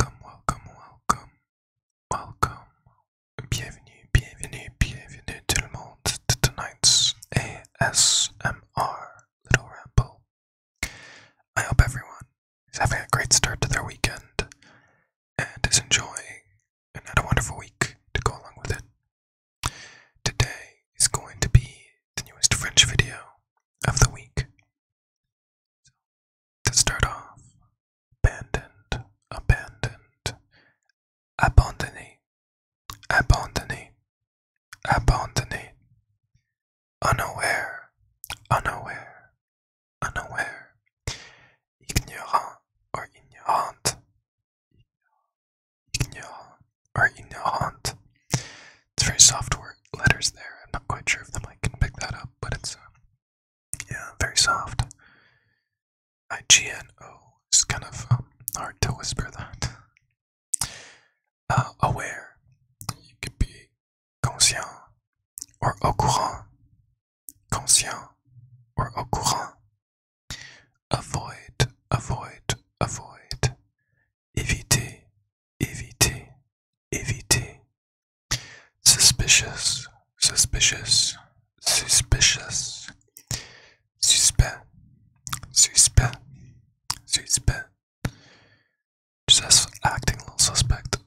Welcome, welcome, welcome, welcome. Bienvenue, bienvenue, bienvenue tout le monde to tonight's ASMR little ramble. I hope everyone is having a great start to their weekend and is enjoying and had a wonderful week to go along with it. Today is going to be the newest French video of the week to start off, abandoned, abandoned, abandonné, abandonné, abandonné, unaware, unaware, unaware, ignorant or ignorant, ignorant or ignorant, it's very soft word letters there. I'm not quite sure if the mic can pick that up, but it's uh, yeah, very soft. I G N O. It's kind of um, hard to whisper that. Uh, aware. You could be conscient or au courant. Conscient or au courant. Avoid, avoid, avoid. Éviter, EVT, EVT. Suspicious, suspicious, suspicious. Suspect, suspect, suspect. Just acting a little suspect.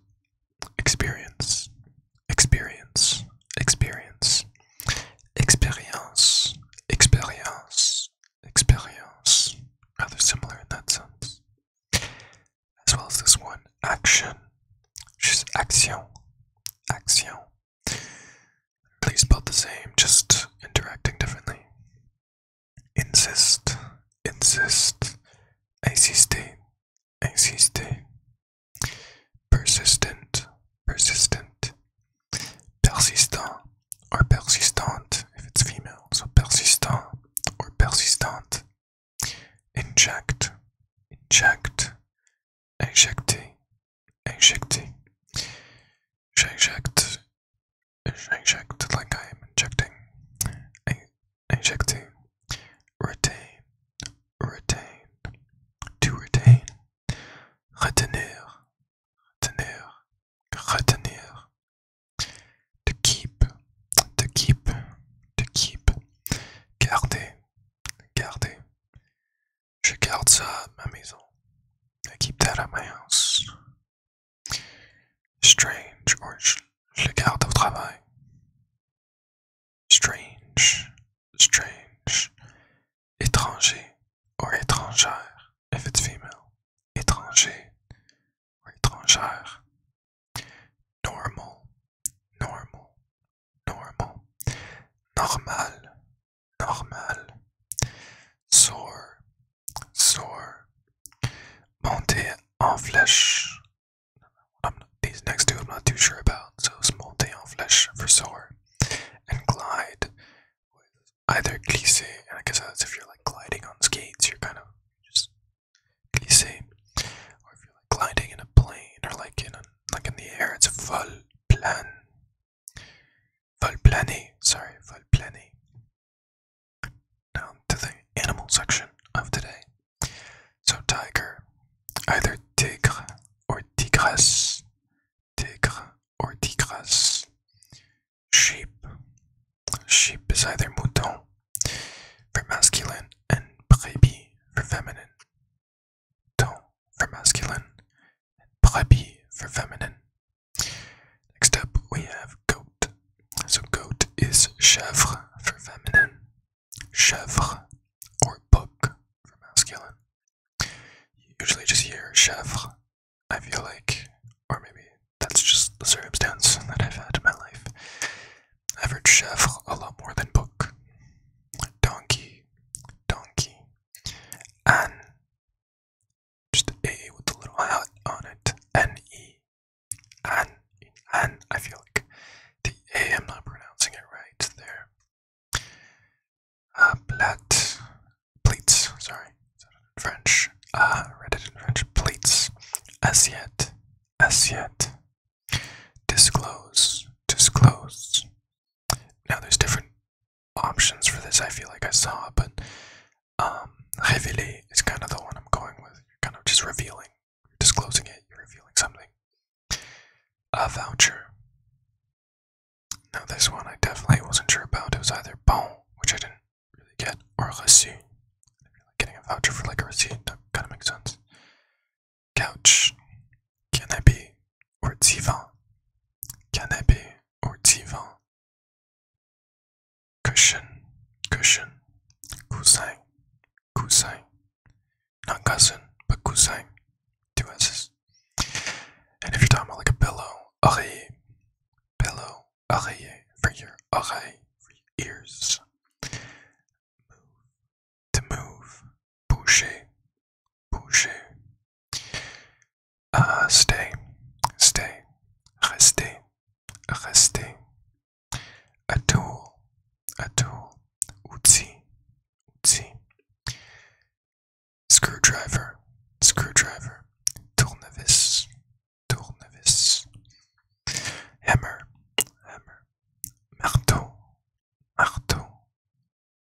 Experience, experience, experience. Experience, experience, experience, rather similar in that sense. As well as this one, action, which is action, action. Please spelled the same, just interacting differently. Insist, insist, insister, insister. Persistent, persistent, persistent or persistent if it's female. So persistent or persistent. Inject, inject, injecter, injecter. J'injecte, j'injecte like I am injecting. In injecting, retain, retain, to retain, retenir, retenir, retenir, To keep, to keep, to keep. Garder, garder. Je garde ça à ma maison. I keep that at my house. Strange, or je, le garde au travail. Strange, strange. Étranger, or étrangère. if it's female. Étranger or étrangère. Normal, normal, normal. Normal, normal. Soar, soar. Monter en fleche these next two I'm not too sure about, so it's monter en flèche for soar. And glide either glissé, and I guess if you're like gliding on skates, you're kind of just glissé, or if you're like gliding in a plane or like in like in the air, it's vol plan, vol plané. Sorry, vol plané. Down to the animal section of today. So tiger, either tigre or tigresse tigre or tigresse. Sheep. Sheep is either mouton for masculine and brebis for feminine. Mouton for masculine and brebis for feminine. Next up we have goat. So goat is chèvre for feminine, chèvre or book for masculine. usually just hear chèvre I feel like, or maybe that's just the circumstance that I've had in my life. I've heard chef a lot more than book. Donkey, donkey, and just A with a little hat on it, e, and and I feel like the A I'm not pronouncing it right there uh, plat, pleats, sorry, French, uh, read it French, pleats, as yet, as yet, disclose, disclose. Now there's different options for this, I feel like I saw, but um, révéler is kind of the one I'm going with. kind of just revealing, you're disclosing it, you're revealing something. A voucher, now, this one I definitely wasn't sure about. It was either bon, which I didn't really get, or like Getting a voucher for like a receipt that kind of makes sense. Couch, canapé, or divan. Canapé or divan. Cushion, cushion, coussin, coussin. Not cousin, but coussin two S's. And if you're talking about like a pillow, oreille, pillow, oreille, for your oreille, ears. to move, bouger, bouger. Uh, stay, stay, rester, rester. A tool, a tool, Screwdriver, screwdriver, tournevis, tournevis, hammer, hammer, marteau, marteau,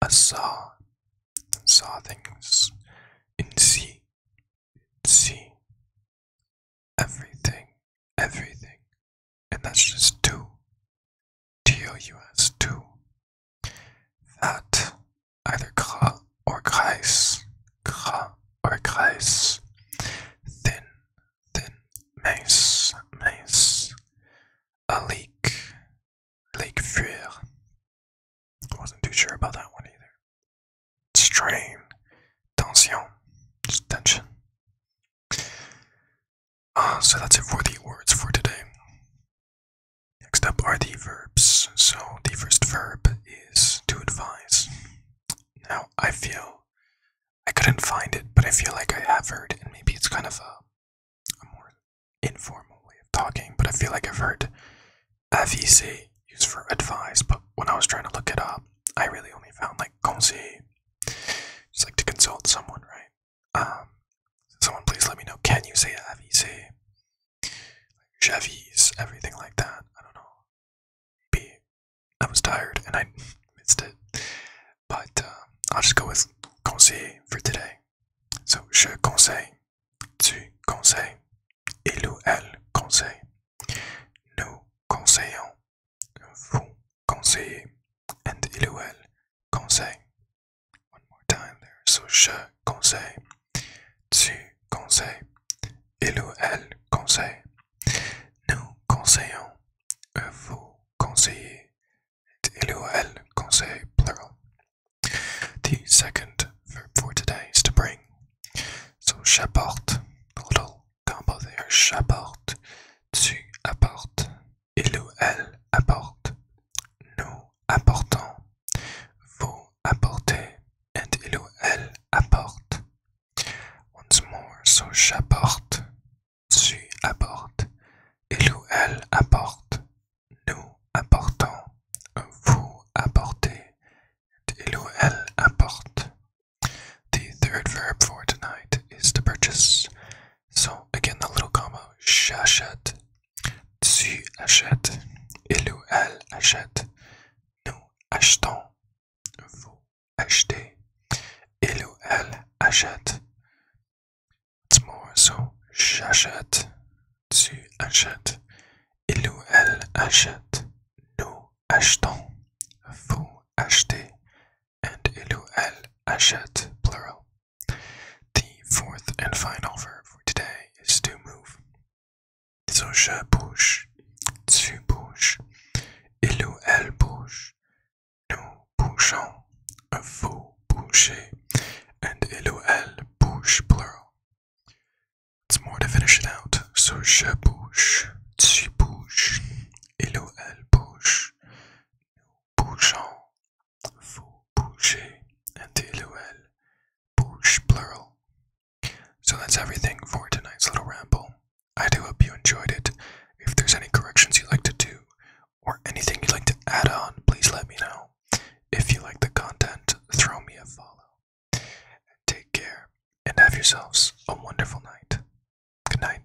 a saw, saw things, in sea, in everything, everything, and that's just two, TOUS2 that either cr or Kreis, cr or Kreis, thin, thin, mace, mace, a leak, leak fear. Wasn't too sure about that one either. Strain, tension, just tension. Uh, so that's it for the words for today. Next up are the verbs. So the first verb is to advise. Now I feel I couldn't find it, but I feel like I have heard, and maybe it's kind of a, more informal way of talking, but I feel like I've heard aviser used for advise, but when I was trying to look it up, I really only found like conseil, just like to consult someone, right? Um, someone please let me know. Can you say avisé? Like everything like that. I don't know. B. I was tired and I missed it. But um, I'll just go with conseil for today. So je conseille, tu conseilles, il ou elle conseille, nous conseillons, vous conseillez, and il ou elle conseille. One more time So je conseille, tu conseilles, il ou elle conseille. Nous conseillons, vous conseillez, il ou elle conseille, plural. The second verb for today is to bring. So j'apporte, little combo there, j'apporte, tu apportes, Il/elle apporte. Nous apportons. Vous apportez. And il/elle apporte. Once more, so j'apporte. Tu apportes. Il/elle apporte. Nous apportons. Vous apportez. And il/elle apporte. The third verb for tonight is to purchase. So again, the little comma. J'achète, tu achètes, il ou elle achète, nous achetons, vous achetez, il ou elle achète. It's more so. J'achète, tu achètes, il ou elle achète, nous achetons, vous achetez, and ilu el ashet, plural. The fourth and final verb for today is to move. So je bouge, tu bouges, il ou elle bouge, nous bougeons, vous bougez, and il ou elle bouge, plural. It's more to finish it out. So je bouge, tu bouges, il ou elle bouge, bouchon, faut boucher, and T-L-U-L, bouche, plural. So that's everything for tonight's little ramble. I do hope you enjoyed it. If there's any corrections you'd like to do, or anything you'd like to add on, please let me know. If you like the content, throw me a follow. And take care, and have yourselves a wonderful night. Good night.